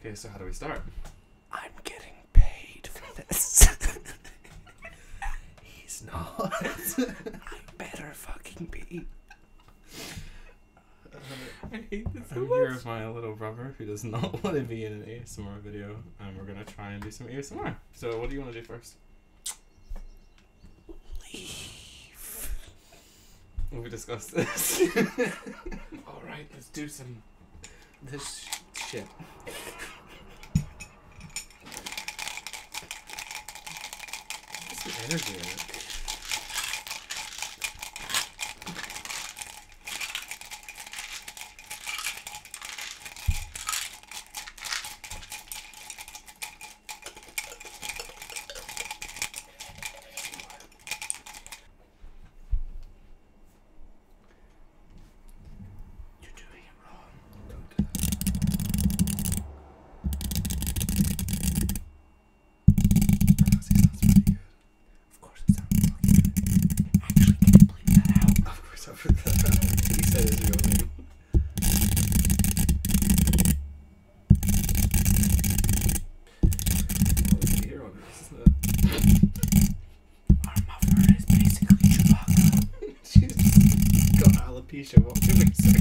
Okay, so how do we start? I'm getting paid for this. He's not. I better fucking be. Uh, my little brother who does not want to be in an ASMR video, and we're gonna try and do some ASMR. So, what do you want to do first? Leave. We'll discuss this. All right, let's do some this shit. There's some energy in it. You're doing it wrong. Don't do it sounds pretty good. Of course, it sounds fucking good. Actually, can you bleep that Of course, I bleep he said his real name. Our mother is basically Chewbacca. She's got alopecia while doing so.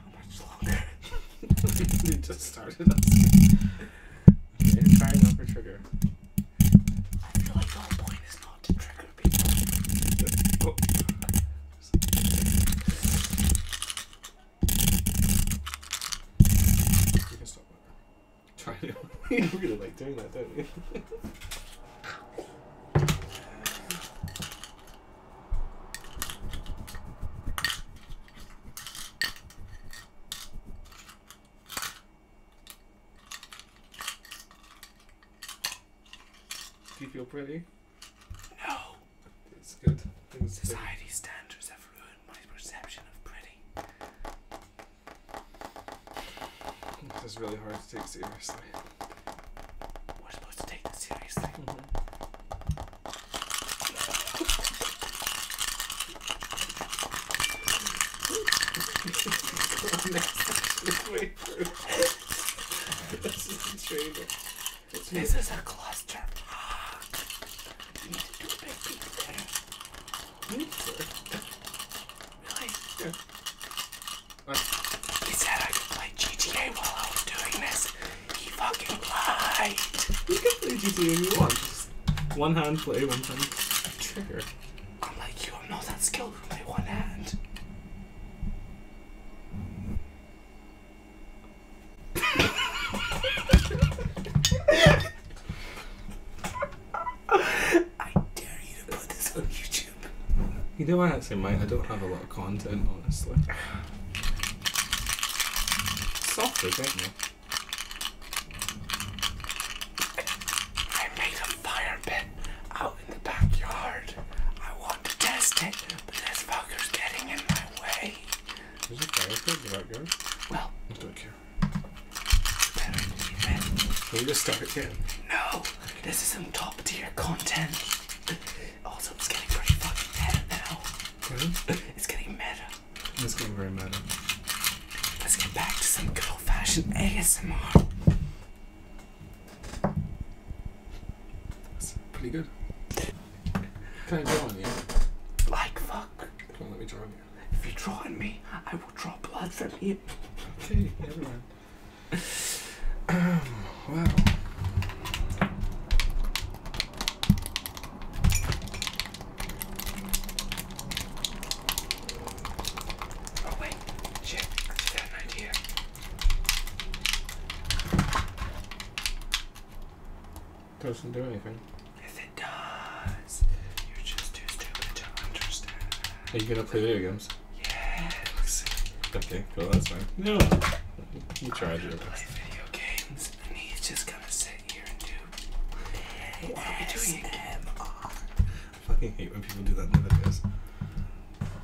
How much longer? we just started us. Okay, firing off her trigger. I feel like the whole point is not to trigger people. You can stop it. Try to. you really like doing that, don't you? Do you feel pretty? No. It's good. It's Society standards have ruined my perception of pretty. This is really hard to take seriously. We're supposed to take this seriously. playthrough. this is the trailer. It's this good. is a cluster. Ah, you need to do a big peek there. Need to. Really? Yeah. What? He said I could play GTA while I was doing this. He fucking lied. You can play GTA if you want. One hand play, one hand trigger. I'm like you, I'm not that skilled with my one hand. I dare you to put this on YouTube. You know, I actually might. I don't have a lot of content, honestly. Softly, don't you? I made a fire pit. I in the backyard. I want to test it, but this fucker's getting in my way. Is it okay fireproof in the backyard? Well, I don't care. Better leave it. Will you just start it again? No, this is some top tier content. Also, it's getting pretty fucking meta now. Really? It's getting meta. It's getting very meta. Let's get back to some good old fashioned ASMR. That's pretty good. Can I draw on you? Like fuck. Don't let me draw on you. If you draw on me, I will draw blood from you. Okay, everyone. um, wow. Oh wait, shit, I got an idea. Doesn't do anything. If it does. You're just too stupid to understand. Are you gonna play video games? Yes. Okay, cool, that's fine. No. You tried gonna play Video games, and he's just gonna sit here and do. What are we doing? I fucking hate when people do that in the videos.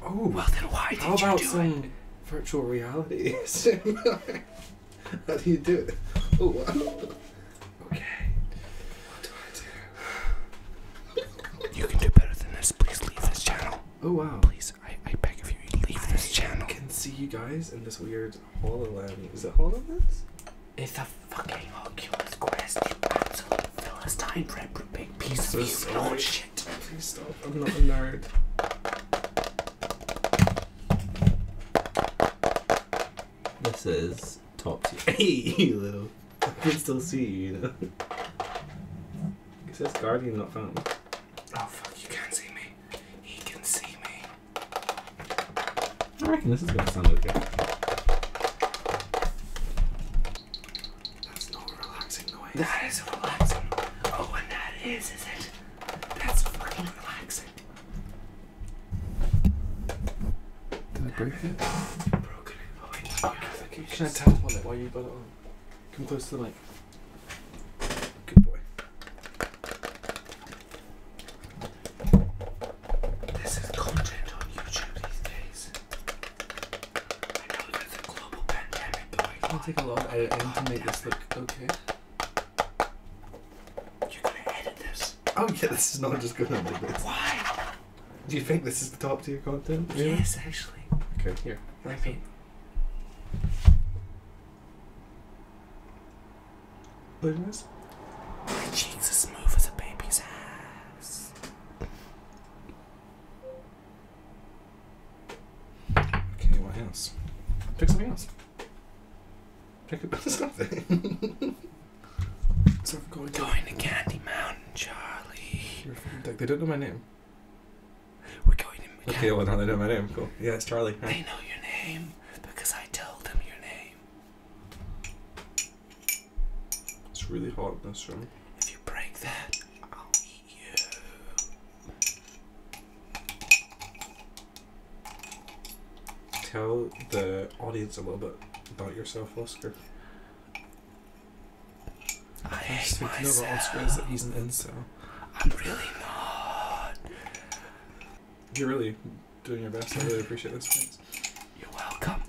Oh, well then why did how you about some virtual reality? how do you do it? Oh, wow. Okay. What do I do? You can do better than this. Please leave this channel. Oh wow. Please, I, beg of you, leave this channel. I can see you guys in this weird HoloLens. Is it HoloLens? It's a fucking Oculus Quest, you absolute philistine red big pieces i of you sorry. shit. Please stop, I'm not a nerd. This is top tier. Hey, you little. I can still see you, you know. He says Guardian not found. Oh fuck, you can't see me. He can see me. I reckon this is gonna sound okay. That's not relaxing noise. That is relaxing. Oh, and that is, is it? That's fucking relaxing. Did I break it? Broken it. Oh, wait, okay. Can, I tell on why you put it on? Come close to the mic. Good boy. This is content on YouTube these days. I know there's a global pandemic going on. It'll take a long editing to oh, make this look okay. You're gonna edit this. Oh yeah, this is not just gonna be this. Why? Do you think this is the top tier content? Yes, actually. Okay, here. I mean. Look at this. My cheeks as a baby's ass. Okay, what else? Pick something else. Pick up something. so we're going, going to Candy Mountain, Charlie. They don't know my name. Okay, well now they know my name. Cool. Yeah, it's Charlie. They know your name because I told them your name. It's really hard, this, room. If you break that, I'll eat you. Tell the audience a little bit about yourself, Oscar. I hate myself. About Oscar is that he's an incel. I'm really not. You're really doing your best. I really appreciate this. Thanks. You're welcome.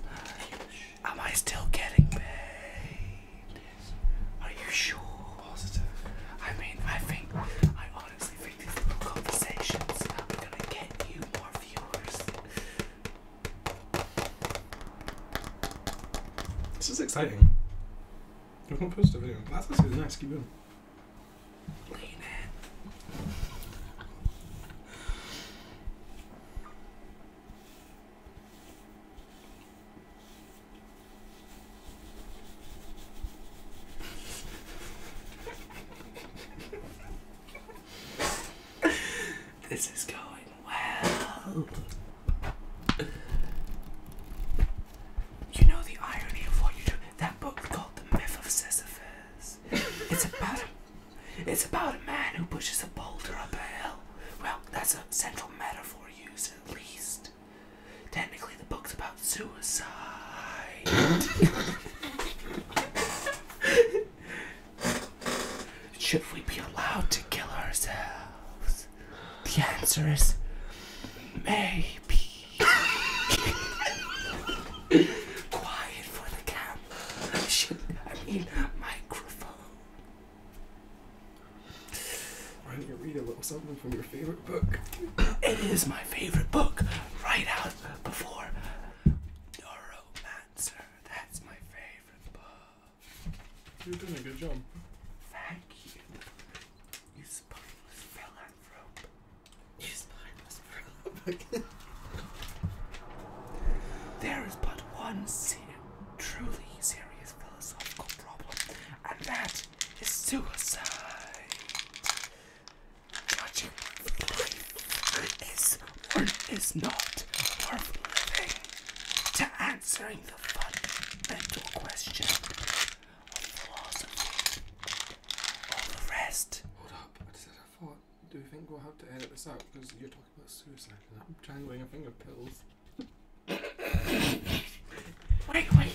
Am I still getting paid? Are you sure? I mean, I think, I honestly think these little conversations are gonna get you more viewers. This is exciting. I've not posted a video. That's actually nice. Keep going. Lean in this is going well. You know the irony of what you do? That book called The Myth of Sisyphus. It's about it's about a man who pushes a boulder up a hill. Well, that's a central metaphor used at least. Technically, the book's about suicide. Should we be allowed to kill ourselves? The answer is maybe. Quiet for the camera. Shouldn't I mean microphone? Why don't you read a little something from your favorite book? It is my favorite book. Right out before Neuromancer. That's my favorite book. You're doing a good job. Thank you. You spineless philanthrope. You spineless there is but one truly serious philosophical problem, and that is suicide. Judging life is or is not worth living. To answering the fundamental question of philosophy, all the rest. Hold up, what is that? do you think we'll have to edit this out because you're talking about suicide and I'm jangling a finger pills. wait, wait.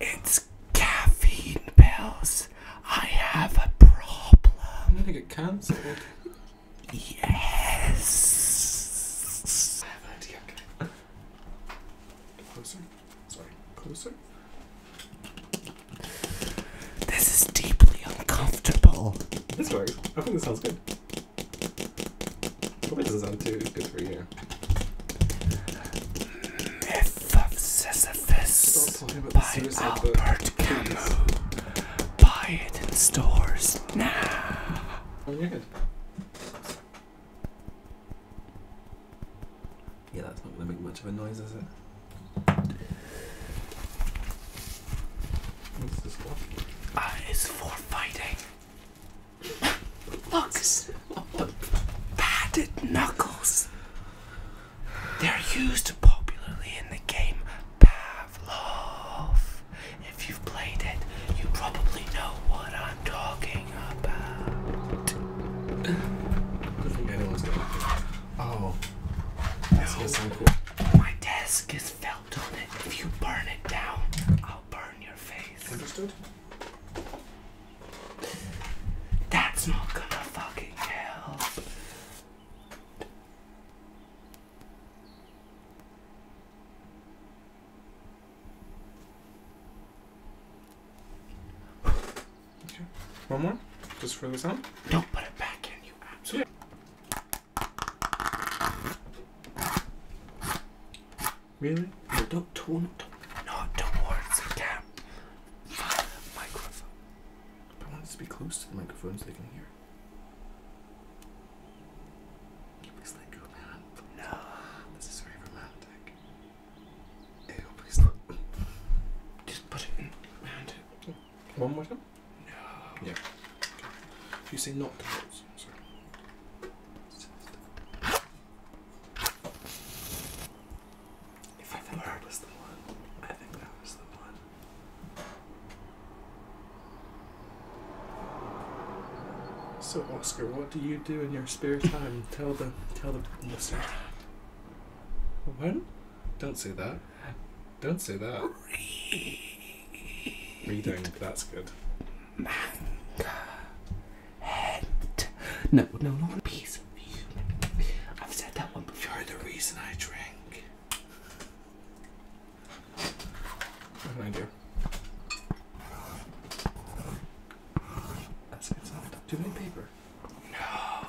It's caffeine pills. I have a problem. I'm gonna get cancelled. yes. I have an idea. Okay. Closer. Sorry. Closer. This is deeply uncomfortable. This works. I think this sounds good. Probably doesn't sound too good for you. Myth of Sisyphus by Albert book. Camus. Buy it in stores now. Oh, you're good. Yeah, that's not gonna make much of a noise, is it? What's this for? Uh, ah, it's for fighting. Look, padded knuckles. They're used popularly in the game Pavlov. If you've played it, you probably know what I'm talking about. Oh, that's no. My desk is felt on it. If you burn it down, I'll burn your face. Understood? That's not gonna fucking help. Okay. One more? Just for the sound? Don't put it back in, you absolutely. Really? No, don't tone it. Not towards the cam. The microphone. I want it to be close to the microphone so they can hear it. One more time? Yeah. you say not If I think that was the one, I think that was the one. So Oscar, what do you do in your spare time? Tell the tell the listeners. What? Don't say that. Don't say that. Reading, that's good. No, No, no, not I've said that one before. You're the reason I drink. What do I do? That's good stuff. Do you paper? No.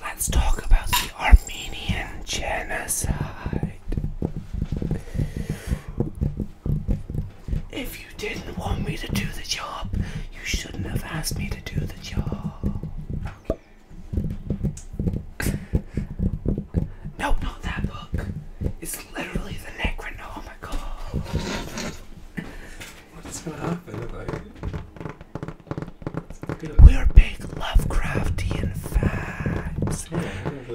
Let's talk about the Armenian genocide. If you didn't want me to do the job, you shouldn't have asked me to do the job. no, not that book. It's literally the neck Oh my god. What's gonna happen if I. We're big Lovecraftian fans.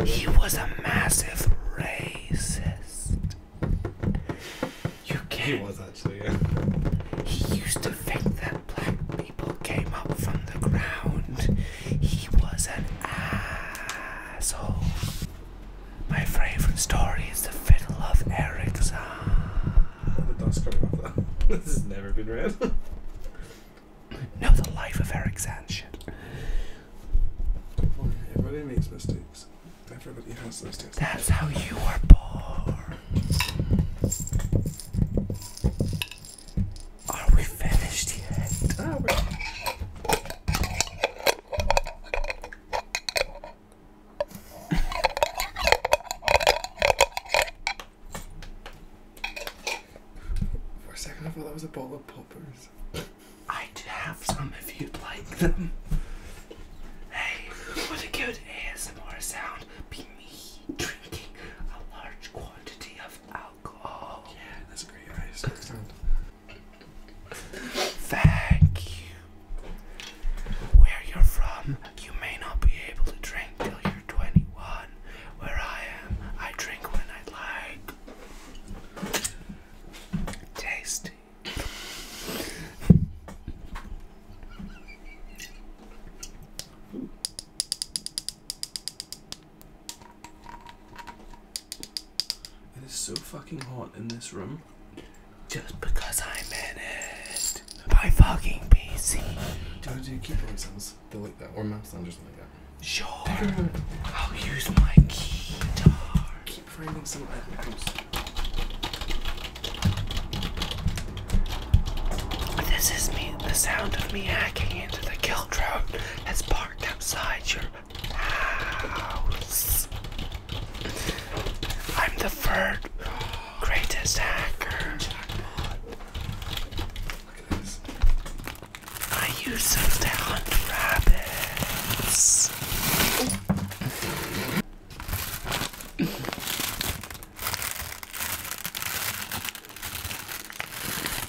he was a massive racist. You can't. He was actually, He used to think that black people came up from the ground he was an asshole. My favorite story is the Fiddle of Ericsson. the dust coming off that. this has never been read. no, the life of Ericsson shit. Everybody makes mistakes. Everybody has mistakes. That's how you were born. Are we finished yet? Ah, For a second, I thought that was a bowl of poppers. I do have some if you'd like them. Hey, what a good ASMR sound be me drinking a large quantity of that's great. Thank you. Where you're from, you may not be able to drink till you're 21. Where I am, I drink when I like. Tasty. It is so fucking hot in this room. Just because I'm in it. My fucking PC. Do you keep to do keyboard sounds? like that, or mouse or something like that. Sure. I'll use my guitar. Keep framing some items. This is me, the sound of me hacking into the kill. Children, let outside your house. I'm the third greatest hacker. I use those to hunt rabbits.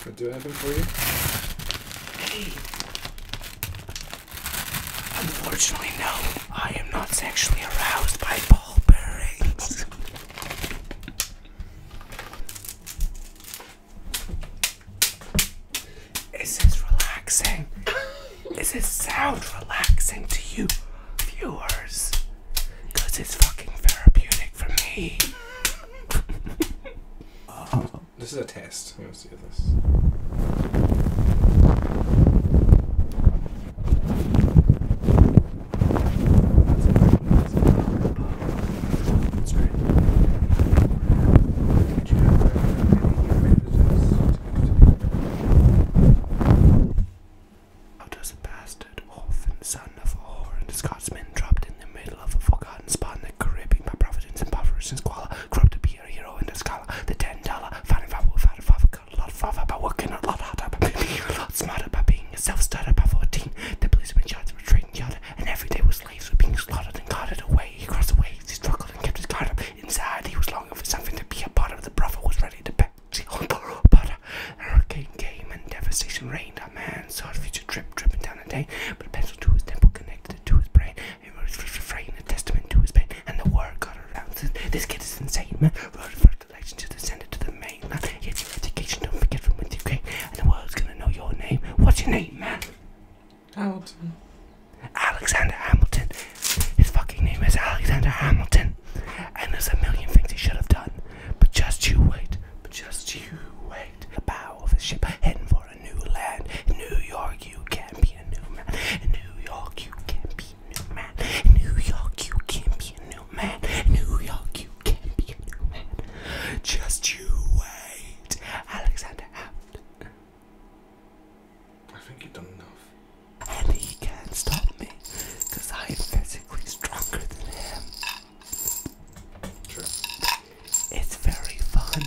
What do I have him for you? Hey. Unfortunately, no. I am not sexually aroused by ball bearings. Is this relaxing? Is this sound relaxing to you, viewers? Because it's fucking therapeutic for me. this is a test. Let's do this. How does a bastard often sound? gun of and the Scotsman dropped in the middle of a forgotten spot in the Caribbean by Providence and Providence and Squalor, corrupt to be a hero in the Scala, the ten dollar, finding five with five, five, a lot farther by working a lot harder, by being a lot smarter, by being a self-starter by 14, the policeman shots were trading yada, and every day was slaves were being slaughtered and carted away, he crossed the waves, he struggled and kept his guard up, inside he was longing for something to be a part of, the brother was ready to bet, see on the road, but a hurricane came and devastation reigned, a man saw a future trip, dripping down Constantine, but a pencil to his temple connected it to his brain. It was fraying a testament to his pain, and the word got around. This kid is insane, man. Wrote for collection to the Senate to the mainland. Here's your education, don't forget from when you came, and the world's gonna know your name. What's your name, man? Hamilton. Alexander Hamilton. His fucking name is Alexander Hamilton. And there's a million things he should have done. But just you wait. But just you wait. The bow of a ship heading for a new land. In New York, you can be a new man. In New York, you can be a new man. In New York, you can be a new man. In New York, you can be a new man. Just you wait. Alexander Abt. I think he's done enough. And he can't stop me, because I'm physically stronger than him. It's very fun.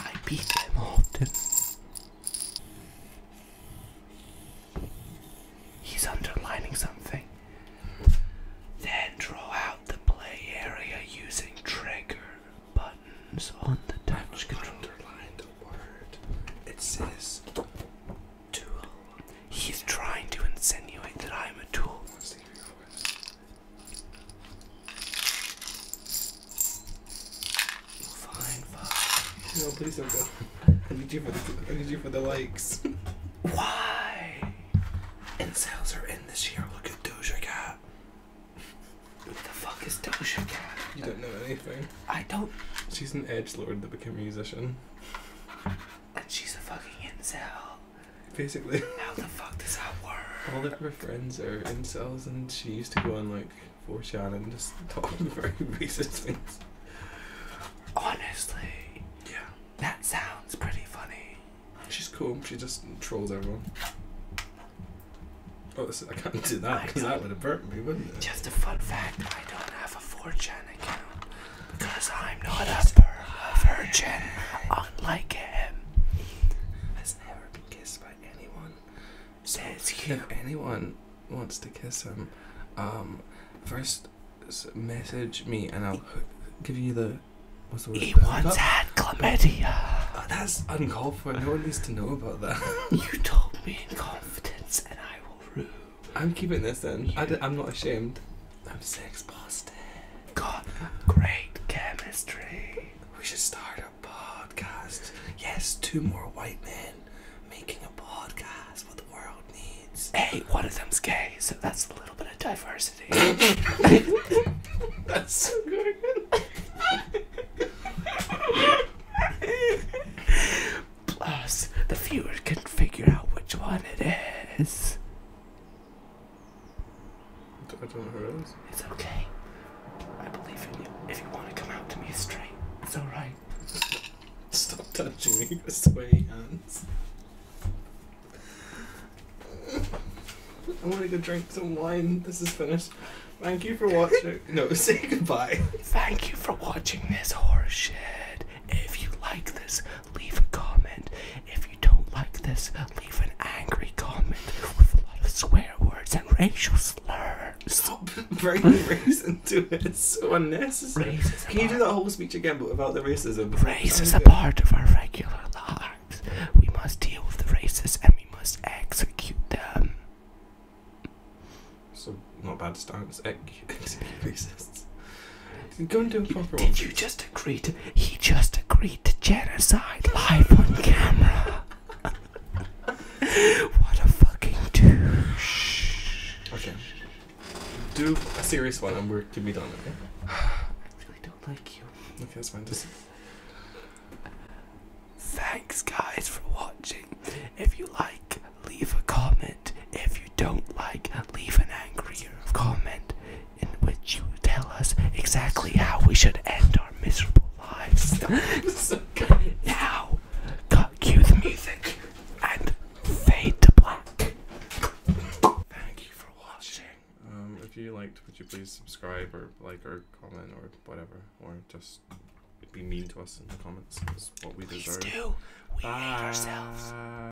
I beat them often. He's underlining something. Then draw out the play area using trigger buttons on the touch control. Underline the word. It says tool. He's trying to insinuate that I'm a tool. Fine, fuck. No, please don't go. I need you for the, I need you for the likes. Why? And are in this year. Look at Doja Cat. What the fuck is Doja Cat? You don't know anything. I don't. She's an edge lord that became a musician. And she's a fucking incel. Basically. How the fuck does that work? All of her friends are incels, and she used to go on like 4chan and just talk very racist things. Honestly. Yeah. That sounds pretty funny. She's cool. She just trolls everyone. Oh, I can't do that because that would have burnt me, wouldn't it? Just a fun fact: I don't have a 4chan account. Because I'm not a virgin, unlike him. Has never been kissed by anyone. Says so If anyone wants to kiss him, um, first message me and I'll give you the. What's the word? He once had chlamydia. Oh, that's uncalled for. No one needs to know about that. you told me in confidence, and I will rue. I'm keeping this in. i d- I'm not ashamed. I'm six past Boston. God, great chemistry. We should start a podcast. Yes, two more white men making a podcast. What the world needs. Hey, one of them's gay, so that's a little bit of diversity. that's so good. Plus, the viewers can figure out which one it is. I don't know who it is. It's okay. I believe in you. If you want to come out to me straight, it's alright. Stop touching me with sweaty hands. I want to go drink some wine. This is finished. Thank you for watching. no, say goodbye. Thank you for watching this horse shit. If you like this, leave a comment. If you don't like this, leave an angry comment with a lot of swear words and racial slurs. Stop bringing racism to it. It's so unnecessary. Race Can you do that whole speech again, but without the racism? Race is a part of our regular lives. We must deal with the racists and we must execute them. So, not bad stance. Execute racists. Did you just agree to? He just agreed to genocide live on camera. what a fucking douche. Okay. Do a serious one, and we're to be done. Okay. I really don't like you. Okay, that's fine. Just... Thanks, guys, for watching. If you like, leave a comment if you don't like. Leave an angry comment in which you tell us exactly how we should end our miserable lives. now, cut, cue the music and fade to black. Thank you for watching. Um, if you liked, would you please subscribe or like or comment or whatever, or just be mean to us in the comments. It's what we please deserve. do. We hate ourselves.